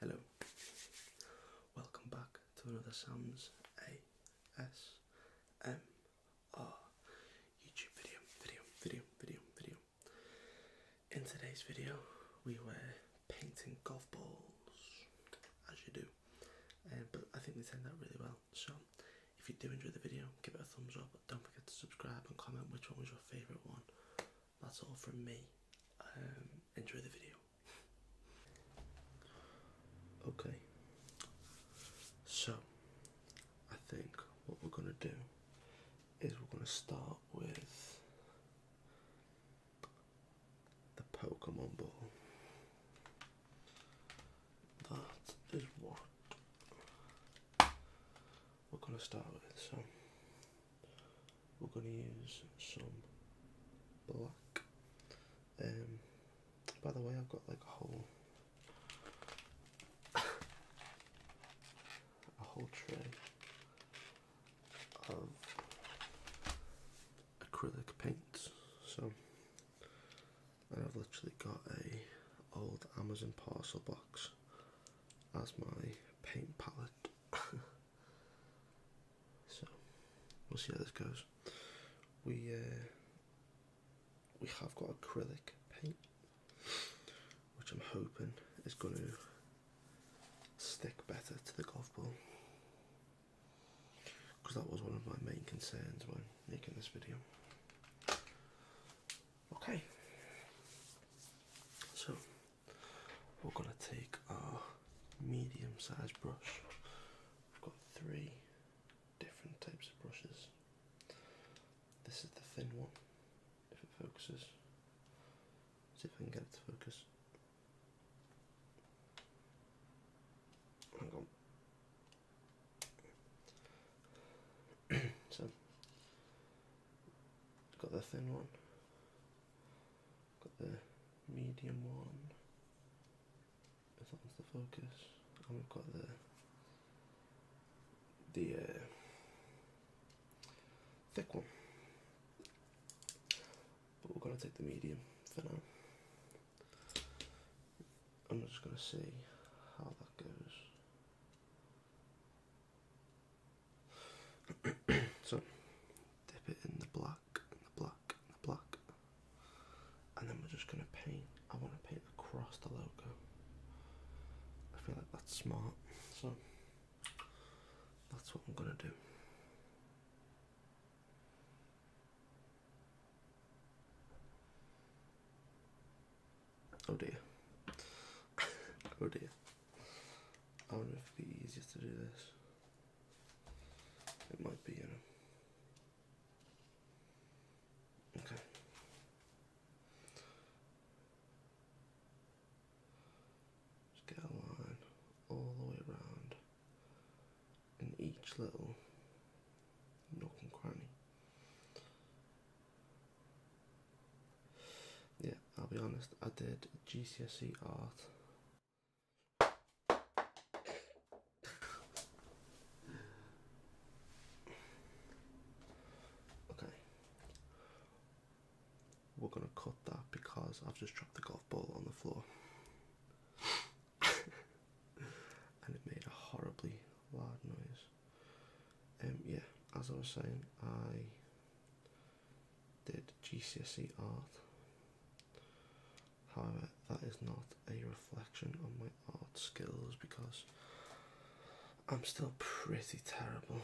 Hello, welcome back to another Sam's ASMR YouTube video, video, video, video, video. In today's video, we were painting golf balls, as you do, uh, but I think we did that really well. So, if you do enjoy the video, give it a thumbs up. Don't forget to subscribe and comment which one was your favourite one that's all from me. Um, enjoy the video. Okay, so I think what we're going to do is we're going to start with the Pokemon Ball. That is what we're going to start with. So we're going to use some black. Um, by the way, I've got like a whole a whole tray of acrylic paints. So, I've literally got a old Amazon parcel box as my paint palette so we'll see how this goes. We uh, we have got acrylic paint, which I'm hoping is going to stick better to the golf ball because that was one of my main concerns when making this video. Okay, so we're going to take our medium sized brush. i have got three different types of brushes. This is the thin one, if it focuses. See if I can get it to focus. Hang on. so Got the thin one. Got the medium one. If that one's the focus. And we've got the the uh, thick one. But we're gonna take the medium for now. I'm just gonna see how that goes. so dip it in the black, and the black, and the black, and then we're just going to paint. I want to paint across the logo. I feel like that's smart, so that's what I'm going to do. Oh dear. oh dear. I wonder if it'd be easier to do this. It might be, you know. Okay. Just get a line all the way around in each little nook and cranny. Yeah, I'll be honest, I did GCSE art. okay. We're gonna cut that because I've just dropped the golf ball on the floor. and it made a horribly loud noise. Um yeah, as I was saying, I did GCSE art. However, that is not a reflection on my art skills because I'm still pretty terrible,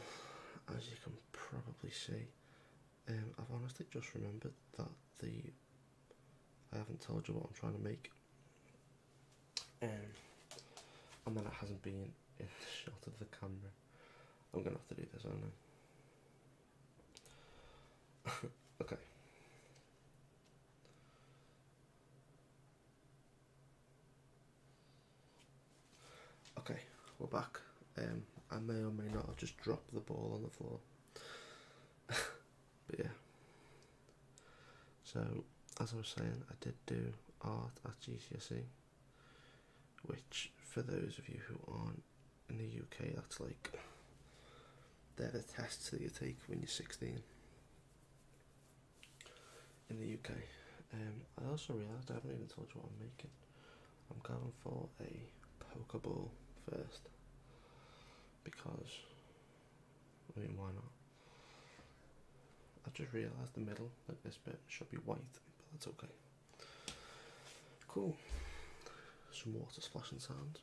as you can probably see. Um, I've honestly just remembered that the I haven't told you what I'm trying to make, and um, and then it hasn't been in the shot of the camera. I'm gonna have to do this, aren't I? okay. Okay, we're back. Um, I may or may not have just dropped the ball on the floor. but yeah. So, as I was saying, I did do art at GCSE which for those of you who aren't in the UK, that's like they're the tests that you take when you're 16 in the UK. Um, I also realised I haven't even told you what I'm making. I'm going for a Pokeball first because I mean, why not? I just realised the middle, like this bit, should be white, but that's okay. Cool. Some water splashing sounds.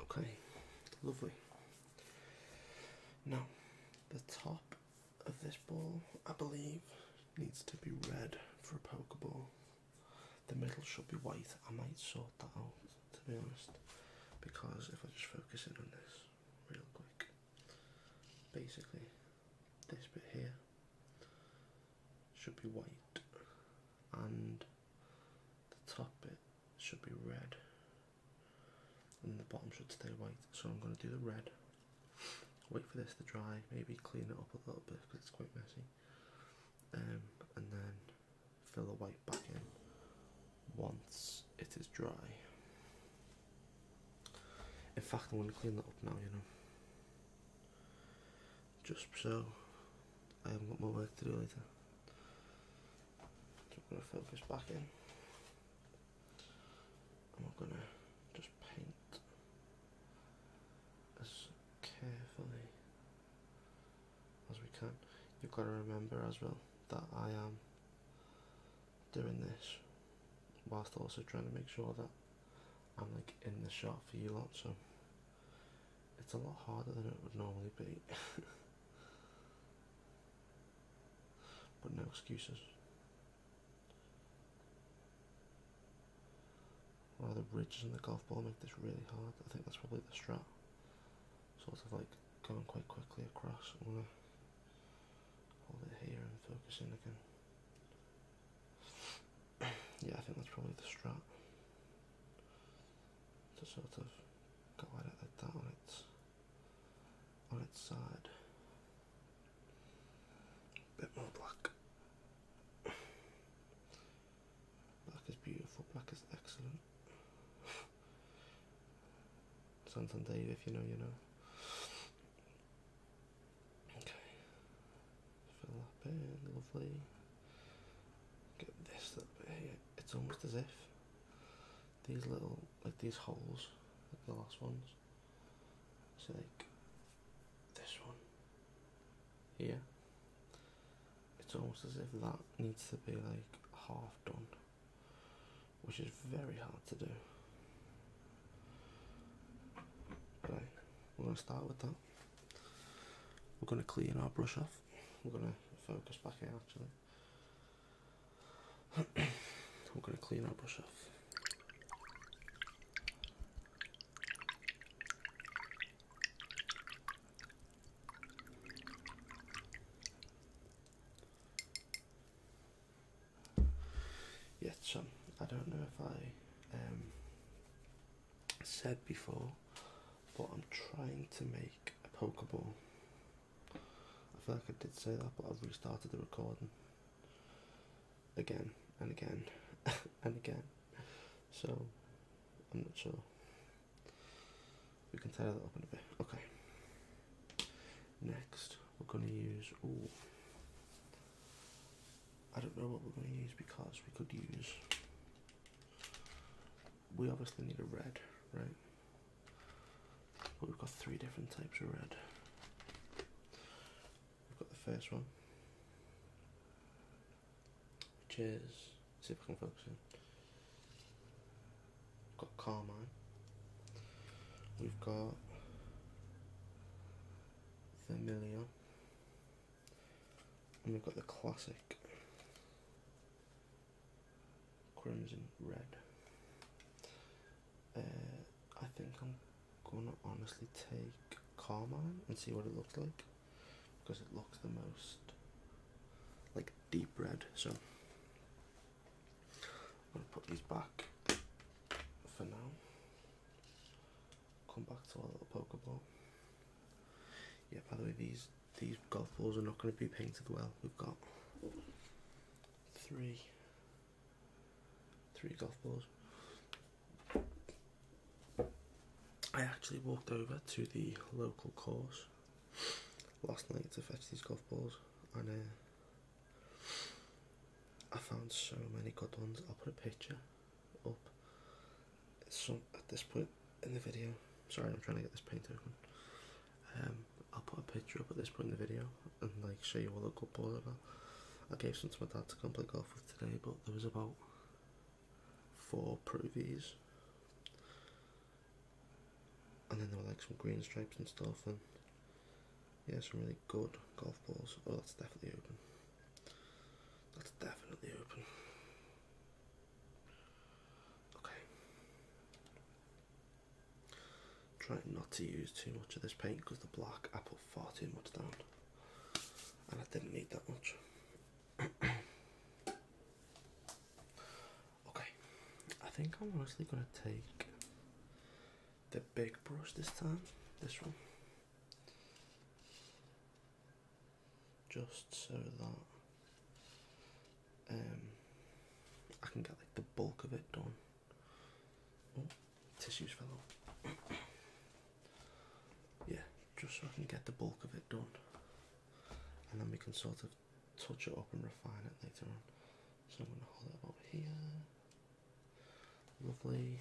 Okay, lovely. Now, the top of this ball, I believe, needs to be red for a Pokeball. The middle should be white. I might sort that out, to be honest, because if I just focus in on this real quick, basically, this bit here should be white, and the top bit should be red and the bottom should stay white. So I'm going to do the red. Wait for this to dry. Maybe clean it up a little bit because it's quite messy. Um, and then fill the white back in once it is dry. In fact, I'm going to clean that up now. You know, just so I haven't got more work to do later. I'm going to fill this back in. I'm gonna just paint as carefully as we can. You've got to remember as well that I am doing this whilst also trying to make sure that I'm like in the shot for you lot so it's a lot harder than it would normally be. But no excuses. All the ridges and the golf ball make this really hard? I think that's probably the strap, Sort of like going quite quickly across. I'm gonna hold it here and focus in again. yeah, I think that's probably the strap To sort of go at it like on its side. Bit more black. Black is beautiful. Black is excellent. Santander, if you know, you know. Okay. Fill that in. Lovely. Get this up here. It's almost as if these little like these holes like the last ones so like this one here it's almost as if that needs to be like half done which is very hard to do right we're going to start with that we're going to clean our brush off we're going to focus back in actually I'm gonna clean our brush off. Yes, Sean, I don't know if I um, said before, but I'm trying to make a Pokeball I feel like I did say that, but I've restarted the recording again and again and again. So I'm not sure. We can tie that up in a bit. Okay. Next, we're going to use. Ooh. I don't know what we're going to use because we could use. We obviously need a red, right? We've got three different types of red. We've got the first one, which is, see if I can focus in. We've got carmine. We've got vermilion. And we've got the classic crimson red. Uh, I think I'm gonna honestly take Carmine and see what it looks like because it looks the most like deep red. So I'm gonna put these back for now. Come back to our little ball. Yeah, by the way, these these golf balls are not going to be painted well. We've got three Three golf balls. I actually walked over to the local course last night to fetch these golf balls, and uh, I found so many good ones. I'll put a picture up some at this point in the video. Sorry, I'm trying to get this paint open. Um, I'll put a picture up at this point in the video and like show you all the good balls I got. I gave some to my dad to come play golf with today, but there was about four Provies. And then there were like some green stripes and stuff, and yeah, some really good golf balls. Oh, that's definitely open. That's definitely open. Okay. Trying not to use too much of this paint because the black I put far too much down and I didn't need that much. okay, I think I'm honestly going to take the big brush this time, this one, just so that um, I can get like the bulk of it done Oh, tissues fellow. yeah, just so I can get the bulk of it done. And then we can sort of touch it up and refine it later on. So I'm going to hold it about here. Lovely.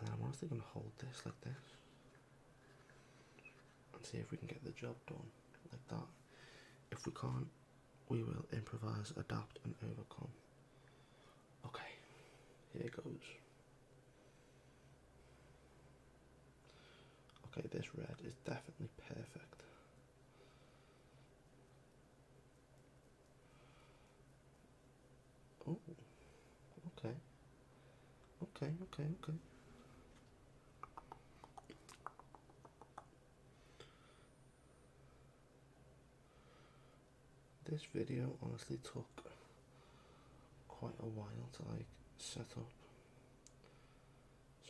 And I'm honestly going to hold this like this. And see if we can get the job done like that. If we can't, we will improvise, adapt, and overcome. Okay, here it goes. Okay, this red is definitely perfect. Oh, okay. Okay, okay, okay. This video honestly took quite a while to like set up.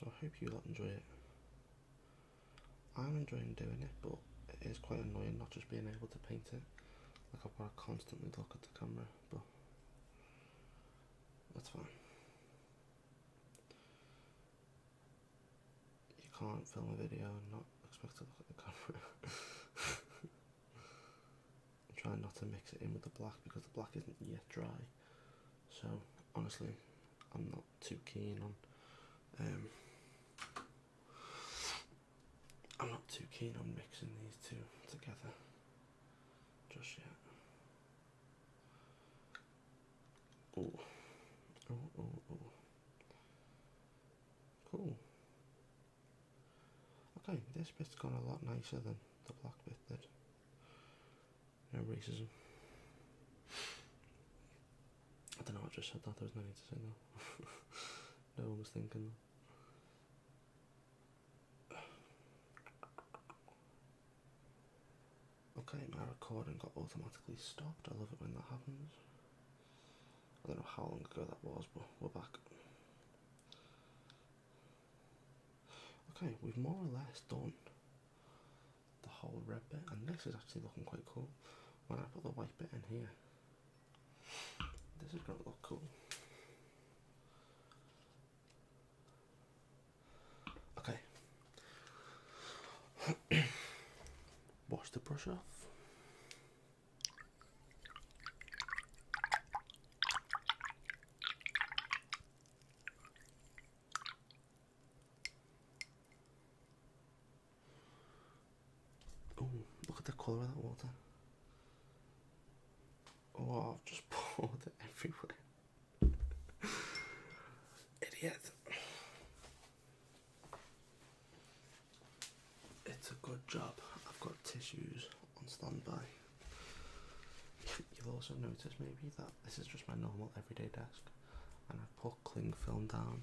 So I hope you lot enjoy it. I'm enjoying doing it but it is quite annoying not just being able to paint it. Like I've got to constantly look at the camera but that's fine. You can't film a video and not expect to look at the camera. Trying not to mix it in with the black because the black isn't yet dry. So honestly, I'm not too keen on. Um, I'm not too keen on mixing these two together just yet. Oh, oh, oh, Cool. Okay, this bit's gone a lot nicer than the black bit did. No racism. I don't know, I just said that, there was no need to say that. no one was thinking Okay, my recording got automatically stopped. I love it when that happens. I don't know how long ago that was, but we're back. Okay, we've more or less done the whole red bit, and this is actually looking quite cool. When I put the white bit in here, this is going to look cool. Okay. Wash the brush off. Oh, look at the colour of that water. Oh, I've just poured it everywhere. Idiot. It's a good job I've got tissues on standby. You'll also notice maybe that this is just my normal everyday desk and I've put cling film down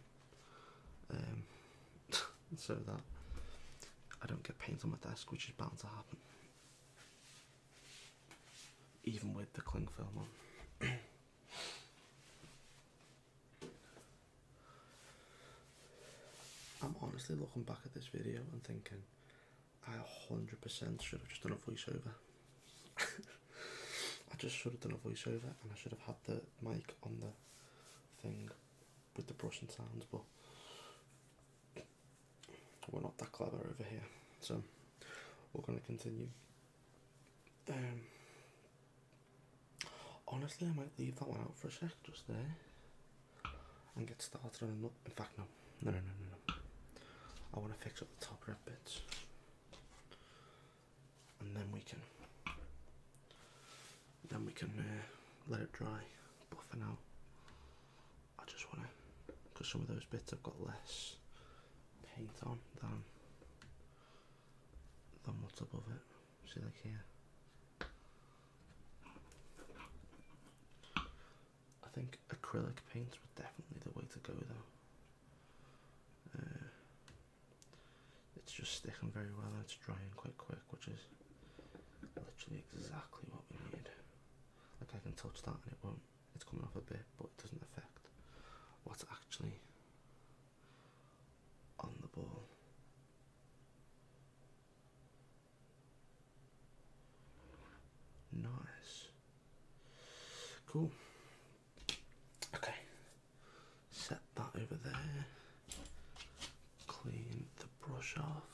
um, so that I don't get paint on my desk which is bound to happen even with the cling film on. I'm honestly looking back at this video and thinking I 100% should have just done a voiceover. I just should have done a voiceover and I should have had the mic on the thing with the brushing sounds, but we're not that clever over here. So we're going to continue um, honestly, I might leave that one out for a sec, just there, and get started on another. In fact, no, no, no, no, no. I want to fix up the top red bits, and then we can, then we can uh, let it dry. But for I just want to, because some of those bits have got less paint on than and what's of it? See, like here. I think acrylic paints are definitely the way to go, though. Uh, it's just sticking very well and it's drying quite quick, which is literally exactly what we need. Like I can touch that and it won't it's coming off a bit, but it doesn't affect what's actually on the ball. Nice. Cool. Okay. Set that over there. Clean the brush off.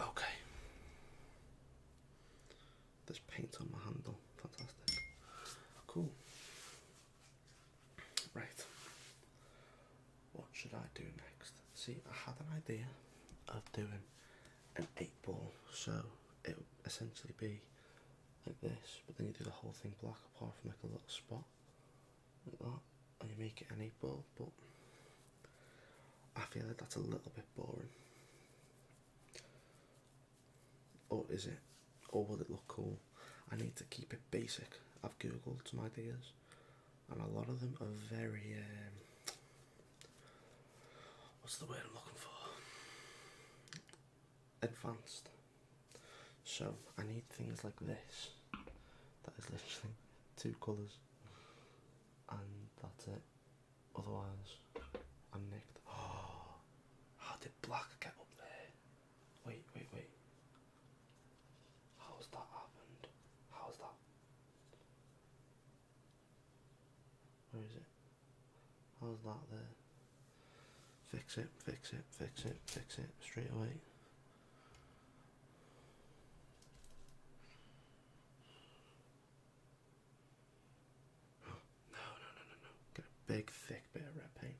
Okay. There's paint on my handle. Fantastic. Cool. Right. What should I do next? See, I had an idea of doing an eight ball, so it would essentially be like this, but then you do the whole thing black apart from like a little spot ball like and you make it any eight ball but I feel like that's a little bit boring or is it or will it look cool I need to keep it basic I've googled some ideas and a lot of them are very um, what's the word I'm looking for advanced. So I need things like this. That is literally two colours, and that's it. Otherwise, I'm nicked. how did black get up there? Wait, wait, wait. How's that happened? How's that? Where is it? How's that there? Fix it, fix it, fix it, fix it straight away. no, no, no, no, no. Get big, thick bit red paint.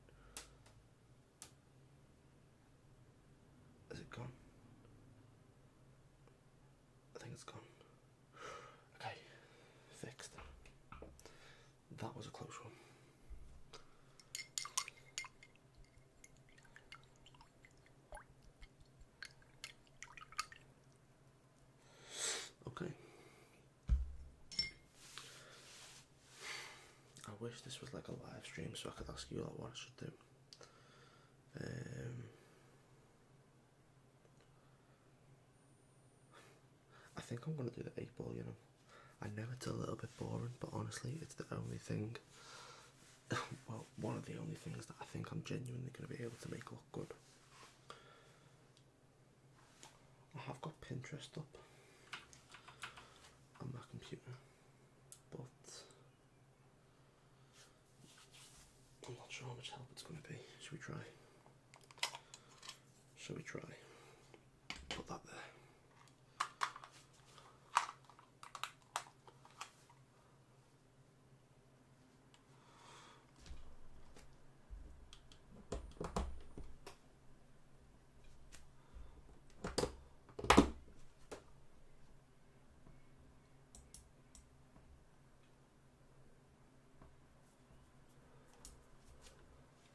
Is it gone? I think it's gone. Okay, fixed. That was a close one. Okay. I wish this was like a live stream so I could ask you like what I should do. Um, I think I'm gonna do the eight ball, you know. I know it's a little bit boring, but honestly, it's the only thing. Well, one of the only things that I think I'm genuinely going to be able to make look good. I have got Pinterest up on my computer, but I'm not sure how much help it's going to be. Should we try? Shall we try? put that there.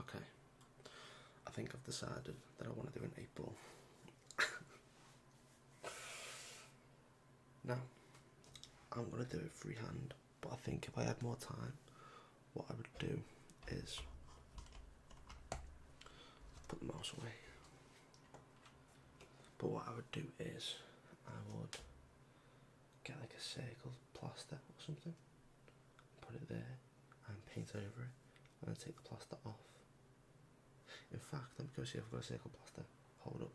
Okay, I think I've decided that I want to do an April. now, I'm going to do it freehand, but I think if I had more time, what I would do is put the mouse away. But what I would do is I would get like a circle plaster or something, put it there and paint over it, and then take the plaster off. In fact, let me go see if I've got a circle plaster. Hold up.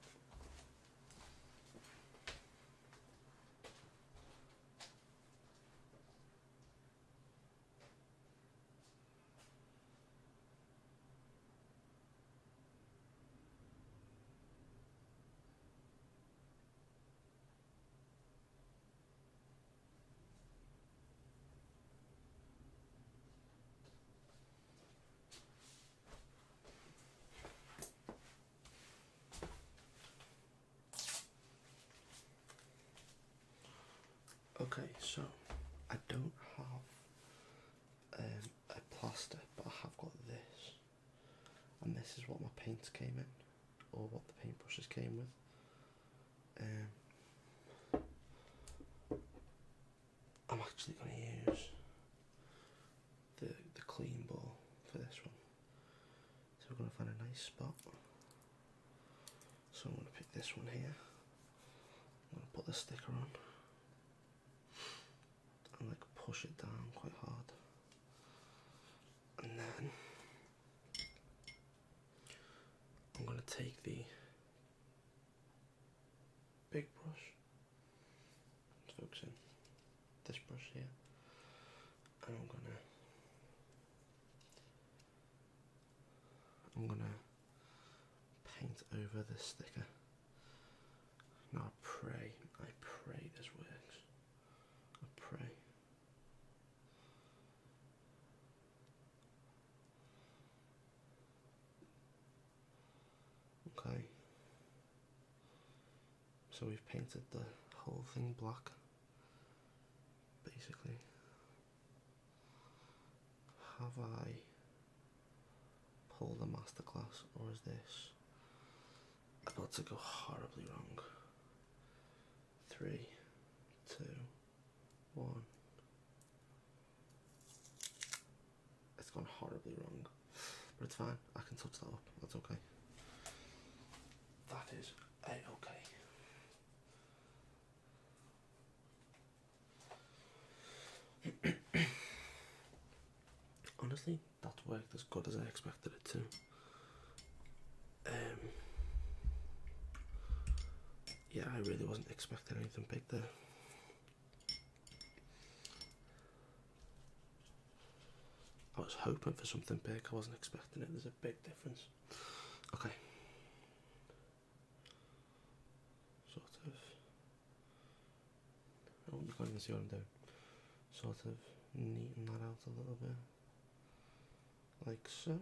Okay, so I don't have um, a plaster, but I have got this and this is what my paint came in or what the paintbrushes came with. Um, I'm actually going to use the, the clean ball for this one. So we're going to find a nice spot. So I'm going to pick this one here. I'm going to put the sticker on and like push it down quite hard and then I'm going to take the big brush focusing this brush here and I'm going to I'm going to paint over the sticker now pray, I pray this works. pray. Okay. So we've painted the whole thing black, basically. Have I pull the masterclass, or is this about to go horribly wrong? Three, two, one. It's gone horribly wrong, but it's fine. I can touch that up. That's okay. That is a okay. honestly, that worked as good as I expected it to. Um, yeah, I really wasn't expecting anything big there. I was hoping for something big, I wasn't expecting it. There's a big difference. Okay. Sort of I can't even see what I'm doing. Sort of neaten that out a little bit. Like so.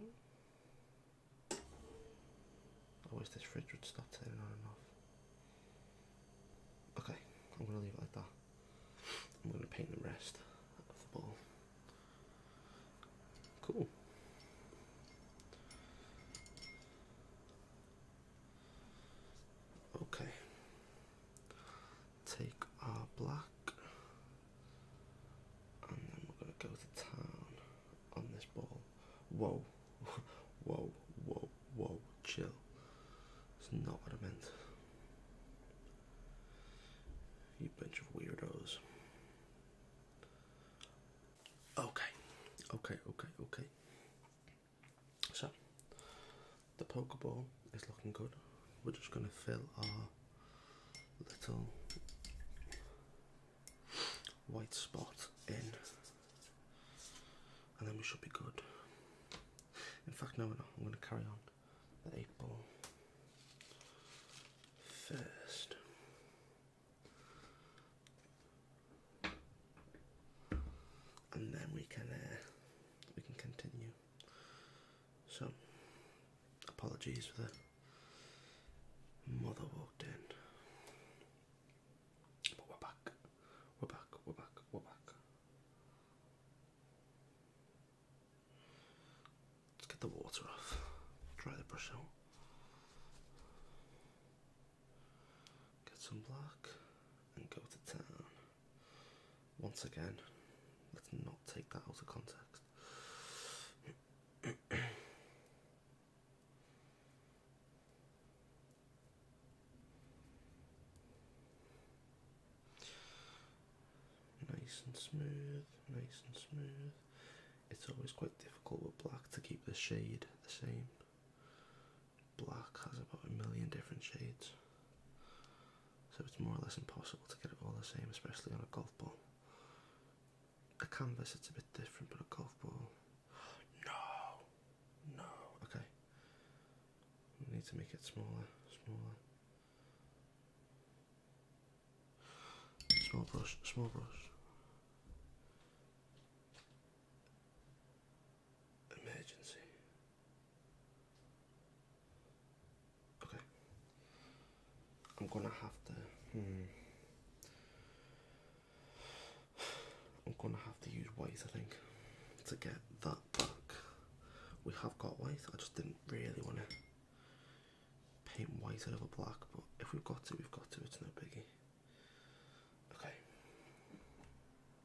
I this fridge would stop turning on and off. Okay, I'm going to leave it like that. I'm going to paint the rest of the ball. Cool. Okay take our black and then we're going to go to town on this ball. Whoa, whoa, whoa, whoa, chill. It's not what I meant. You bunch of weirdos. Okay, okay, okay, okay. So the poker ball is looking good. We're just going to fill our little white spot in, and then we should be good. In fact, no, we I'm going to carry on the eight ball first and then we can uh, we can continue. So, apologies for the mother walked in, but we're back. We're back. We're back. We're back. Let's get the water off. Dry the brush out. Get some black and go to town. Once again, let's not take that out of context. nice and smooth, nice and smooth. It's always quite difficult with black to keep the shade the same black has about a million different shades, so it's more or less impossible to get it all the same, especially on a golf ball. A canvas, it's a bit different, but a golf ball. No, no, okay. need to make it smaller, smaller. Small brush, small brush. Emergency. Okay. I'm gonna have to. Hmm. I'm gonna have to use white, I think, to get that back. We have got white. I just didn't really want to paint white over black, but if we've got to, we've got to. It's no biggie. Okay.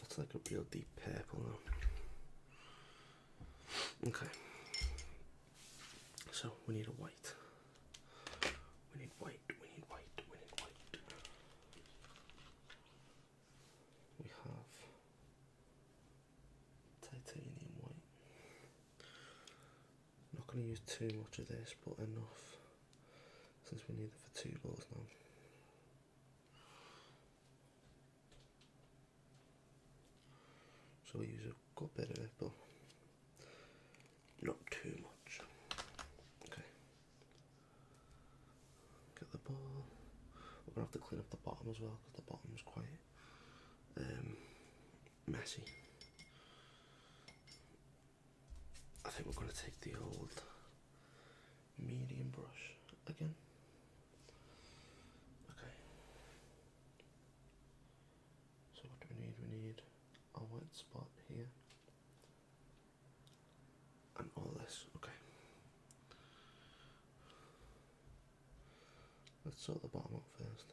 That's like a real deep purple though. Okay. So we need a white. We need white, we need white, we need white. We have titanium white. I'm not going to use too much of this, but enough since we need it for two balls now. So we use a good bit of it, but not too much. Okay. Get the ball. We're going to have to clean up the bottom as well, because the bottom's quite um, messy. I think we're going to take the old medium brush again. Okay. So what do we need? We need a white spot here. And all this, okay. Let's sort the bottom up first.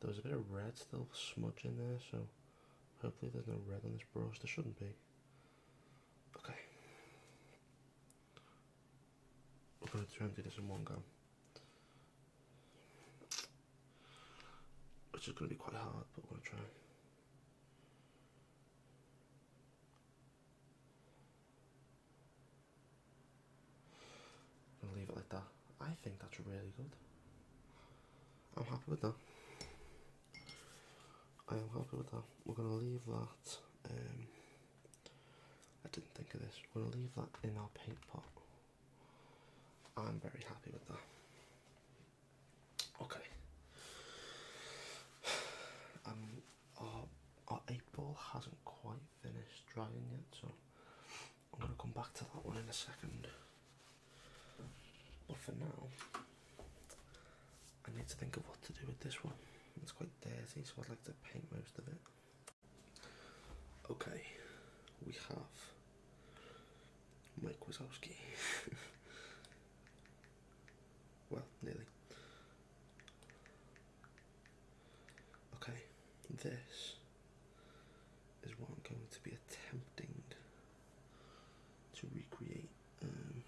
There's a bit of red still smudge in there, so hopefully there's no red on this brush. There shouldn't be. Okay. We're going to try and do this in one go. Which is going to be quite hard, but we're going to try i to leave it like that. I think that's really good. I'm happy with that. I am happy with that. We're gonna leave that. Um, I didn't think of this. We're gonna leave that in our paint pot. I'm very happy with that. Okay. Um, our, our eight hasn't quite finished drying yet, so I'm going to come back to that one in a second. But for now, I need to think of what to do with this one. It's quite dirty, so I'd like to paint most of it. Okay, we have Mike Wazowski. well, nearly. Okay, this is what I'm going to be attempting to recreate. Um,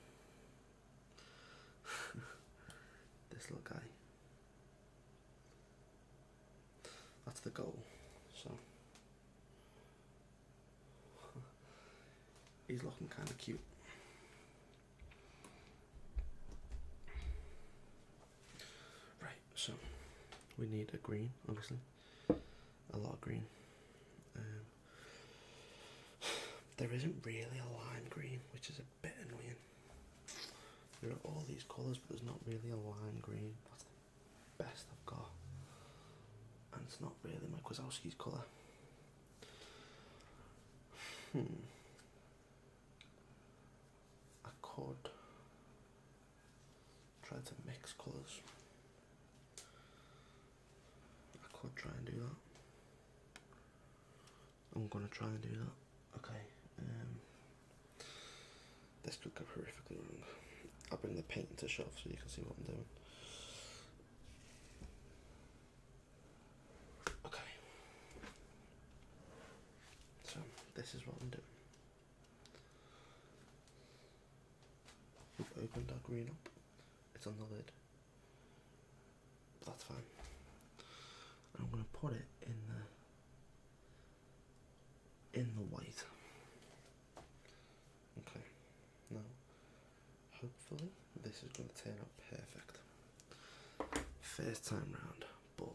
this little guy. That's the goal. So he's looking kind of cute. Right, so we need a green, obviously, a lot of green. Um, there isn't really a lime green, which is a bit annoying. There are all these colours, but there's not really a lime green. That's best I've got. And it's not really my Kwiatkowski's colour. Hmm. I could try to mix colours. I could try and do that. I'm gonna try and do that. Okay. Um, this could go horrifically wrong. I'll bring the paint to shelf so you can see what I'm doing. Okay. So this is what I'm doing. We've opened our green up. It's on the lid. That's fine. I'm gonna put it in the in the white. Okay. Now hopefully this is gonna turn out perfect. First time round, but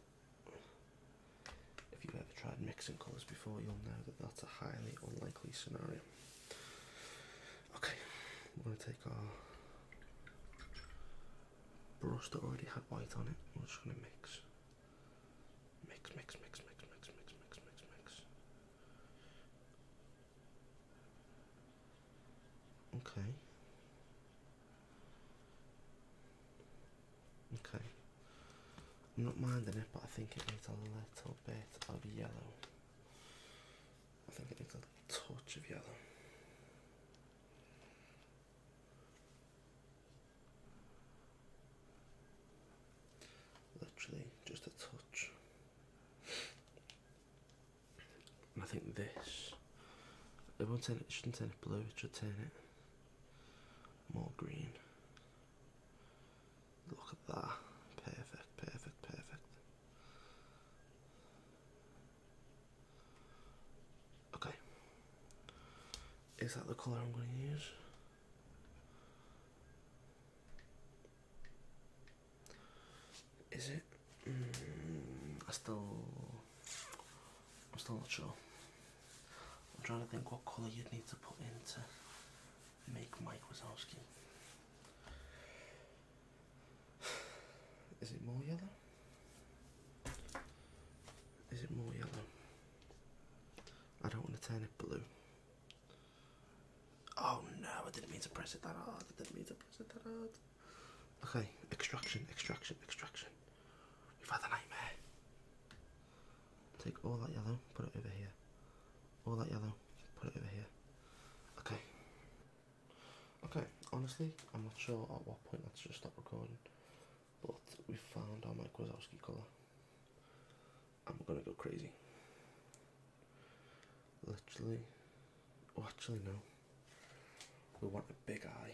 if you've ever tried mixing colours before, you'll know that that's a highly unlikely scenario. Okay, we're going to take our brush that already had white on it, we're just going to mix. Mix, mix, mix, mix, mix, mix, mix, mix, mix. Okay. Okay. I'm not minding it, but I think it needs a little bit of yellow. I think it needs a touch of yellow. Literally, just a touch. I think this. It won't turn it, shouldn't turn it blue, it should turn it more green. Look at that. Perfect, perfect, perfect. Okay. Is that the colour I'm going to use? Is it? Mm, I still. I'm still not sure. I'm trying to think what colour you'd need to put in to make Mike Wazowski. Is it more yellow? Is it more yellow? I don't want to turn it blue. Oh no, I didn't mean to press it that hard. I didn't mean to press it that hard. Okay, extraction, extraction, extraction. You've had a nightmare. Take all that yellow, put it over here. All that yellow, put it over here. Okay. Okay, honestly, I'm not sure at what point I should stop recording, but we found our Mike Wazowski colour. I'm gonna go crazy. Literally, actually no. We want a big eye.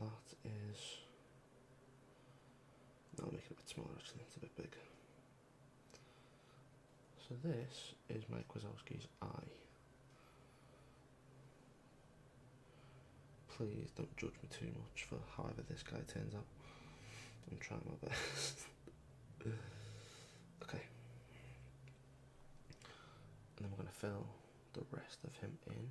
thats is. is, that'll make it a bit smaller actually, it's a bit big. So this is my Wazowski's eye. Please don't judge me too much for however this guy turns out. I'm trying my best. okay. And then we're going to fill the rest of him in.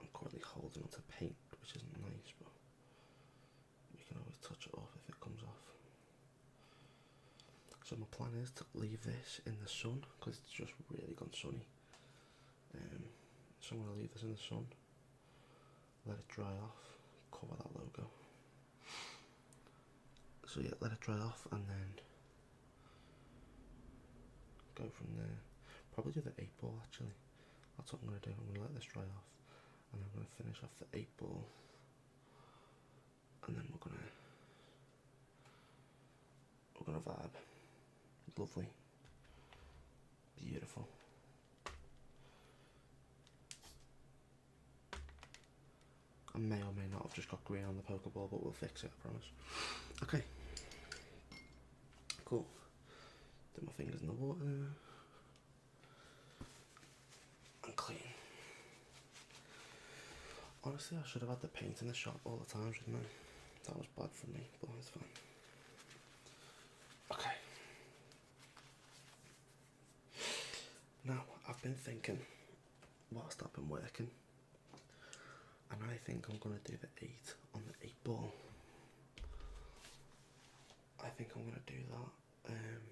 I'm currently holding onto paint, which isn't nice, but you can always touch it off if it comes off. So my plan is to leave this in the sun because it's just really gone sunny. so I'm going to leave this in the sun, let it dry off, cover that logo. So yeah, let it dry off and then go from there. Probably do the 8 ball actually. That's what I'm going to do. I'm going to let this dry off and I'm going to finish off the 8 ball and then we're going to we're going to vibe. Lovely. Beautiful. I may or may not have just got green on the poker ball, but we'll fix it, I promise. Okay. Cool. Put my fingers in the water. And clean. Honestly, I should have had the paint in the shop all the time, should That was bad for me, but it's fine. Okay. Now, I've been thinking whilst I've been working, and I think I'm going to do the 8 on the 8 ball. I think I'm gonna do that um,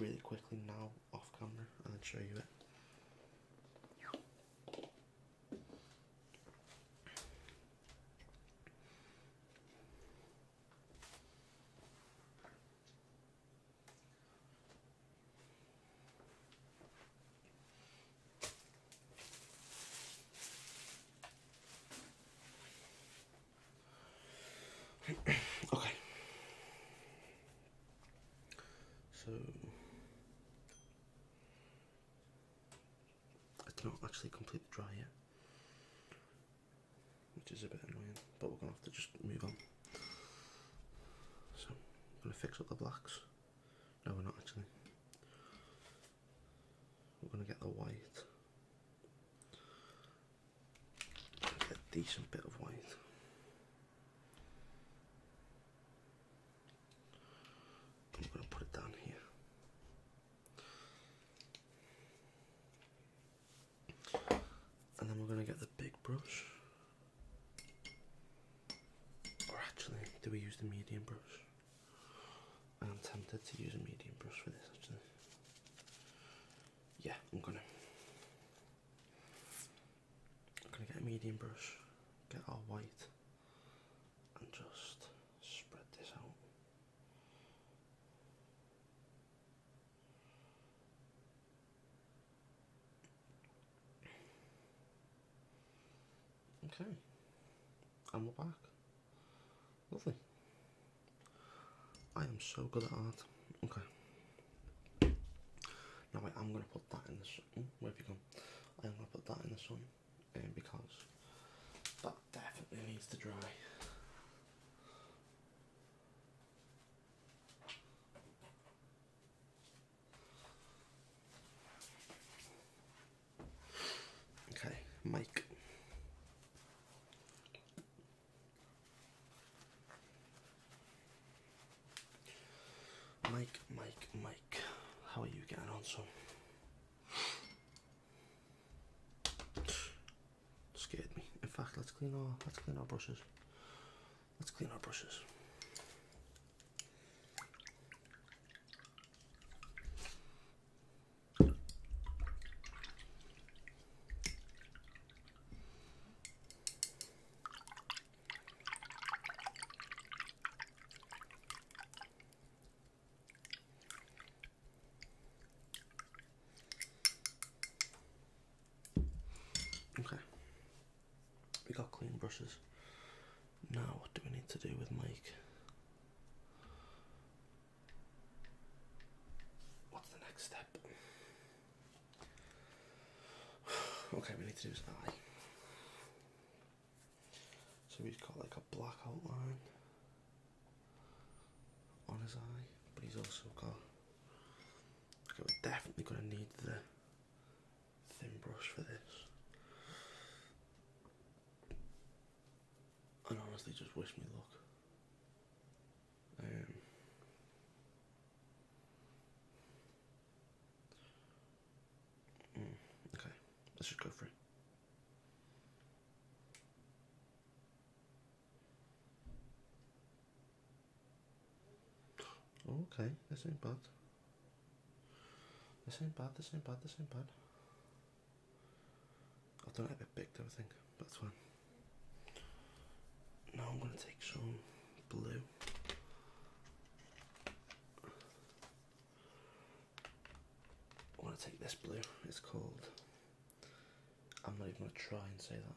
really quickly now off camera and show you it. okay. So it's not actually completely dry yet, which is a bit annoying, but we're gonna have to just move on. So I'm gonna fix up the blacks. No, we're not actually. We're going to get the white. a decent bit of white. I'm going to put it down here. And then we're going to get the big brush. Or actually, do we use the medium brush? I'm tempted to use a medium brush for this actually. Yeah, I'm gonna. I'm gonna get a medium brush, get our white, and just spread this out. Okay. And we're back. Lovely. I am so good at art. Okay. Now I am going to put that in the sun. Oh, Where have you gone? I am going to put that in this one, um, because that definitely needs to dry. Okay, Mike. Mike, Mike, Mike, how are you getting on, son? Scared me. In fact, let's clean our let's clean our brushes. Let's clean our brushes. Okay. We got clean brushes. Now, what do we need to do with Mike? What's the next step? okay, we need to do his eye. So he's got like a black outline on his eye, but he's also got. Okay, we're definitely going to need the thin brush for this and honestly just wish me luck. Um, mm, okay, let's just go for it. Okay, this ain't bad. This ain't bad, this ain't bad, this ain't bad. I've done a bit big though, I think. That's fine. Now I'm going to take some blue. I want to take this blue. It's called. I'm not even going to try and say that.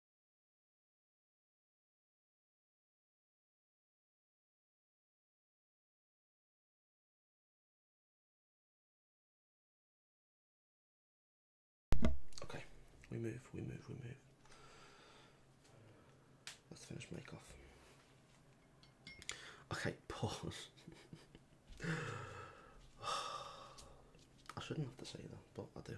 Okay, we move, we move, we move. Let's finish make off. Okay, pause. I shouldn't have to say that, but I do.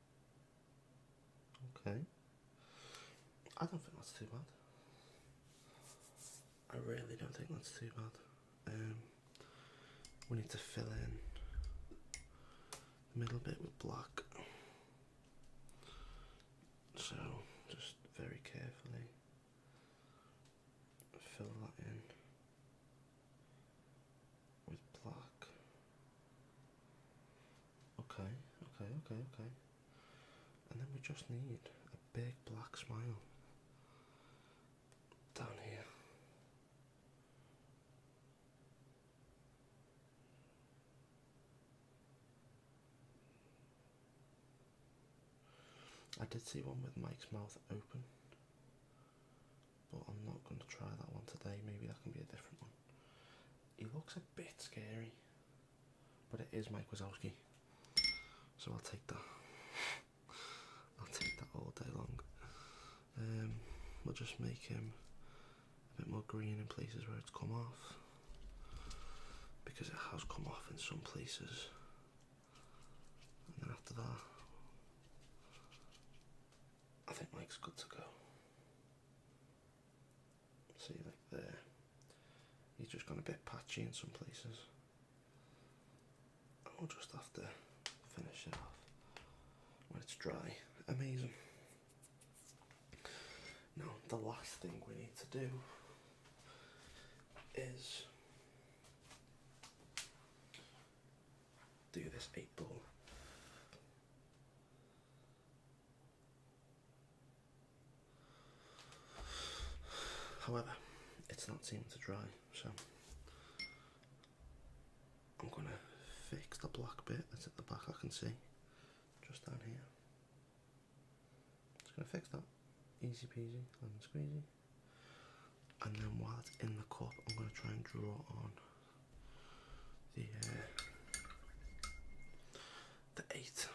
Okay. I don't think that's too bad. I really don't think that's too bad. Um, we need to fill in the middle bit with black. So just very carefully fill that in with black. Okay, okay, okay, okay. And then we just need a big black smile down here. I did see one with Mike's mouth open, but I'm not going to try that one today. Maybe that can be a different one. He looks a bit scary, but it is Mike Wazowski, so I'll take that. I'll take that all day long. Um, we'll just make him a bit more green in places where it's come off, because it has come off in some places. And then after that, I think Mike's good to go. See, like there, he's just gone a bit patchy in some places. I'll just have to finish it off when it's dry. Amazing. Now, the last thing we need to do is do this eight ball. However, it's not seeming to dry, so I'm going to fix the black bit that's at the back I can see, just down here. Just going to fix that, easy peasy, lemon squeezy. And then while it's in the cup, I'm going to try and draw on the uh, the eight.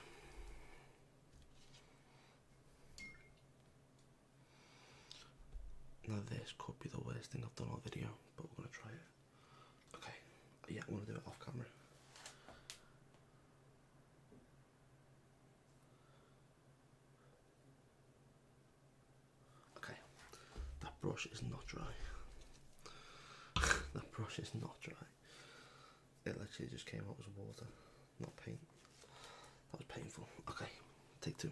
Now this could be the worst thing I've done all video, but we're gonna try it. Okay, yeah, we're gonna do it off camera. Okay, that brush is not dry. that brush is not dry. It literally just came out as water, not paint. That was painful. Okay, take two.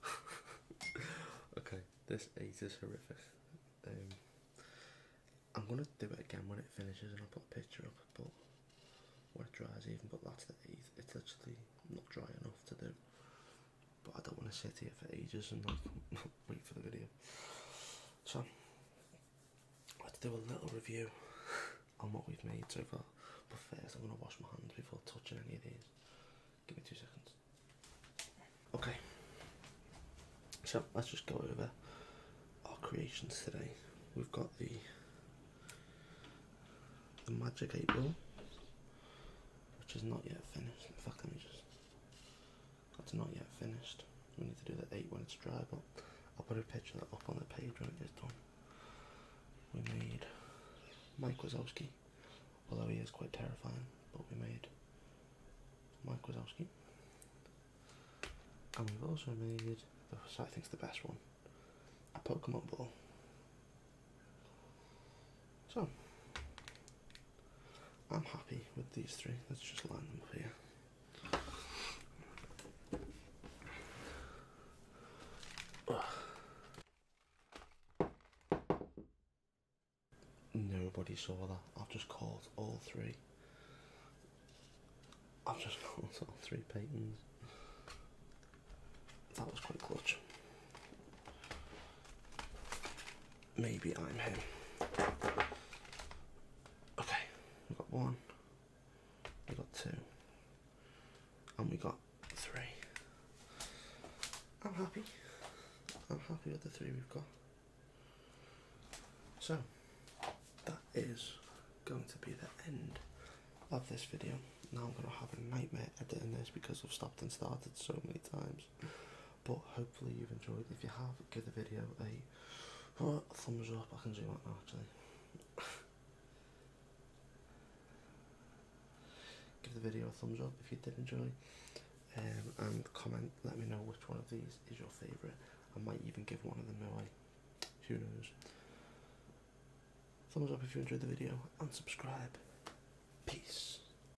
okay, this eight is horrific. Um, I'm gonna do it again when it finishes, and I'll put a picture up. But when it dries, even but that's the eighth. It's actually not dry enough to do but I don't want to sit here for ages and wait for the video. So I have to do a little review on what we've made so far. But first, I'm gonna wash my hands before touching any of these. Give me two seconds. Okay. So let's just go over our creations today. We've got the the magic eight which is not yet finished. In just that's not yet finished. We need to do that eight when it's dry, but I'll put a picture of that up on the page when it is done. We made Mike Wazowski, although he is quite terrifying, but we made Mike Wazowski. And we've also made, this I think is the best one, a Pokemon ball. So, I'm happy with these three. Let's just line them up here. Nobody saw that. I've just caught all three. I've just caught all three patents. That was quite clutch maybe I'm him. Okay, we've got one, we've got two, and we got three. I'm happy. I'm happy with the three we've got. So, that is going to be the end of this video. Now I'm going to have a nightmare editing this because I've stopped and started so many times. But hopefully you've enjoyed. If you have, give the video a, thumbs up. I can do that now actually. give the video a thumbs up if you did enjoy. Um, and comment, let me know which one of these is your favourite. I might even give one of them away. Who knows? Thumbs up if you enjoyed the video and subscribe. Peace.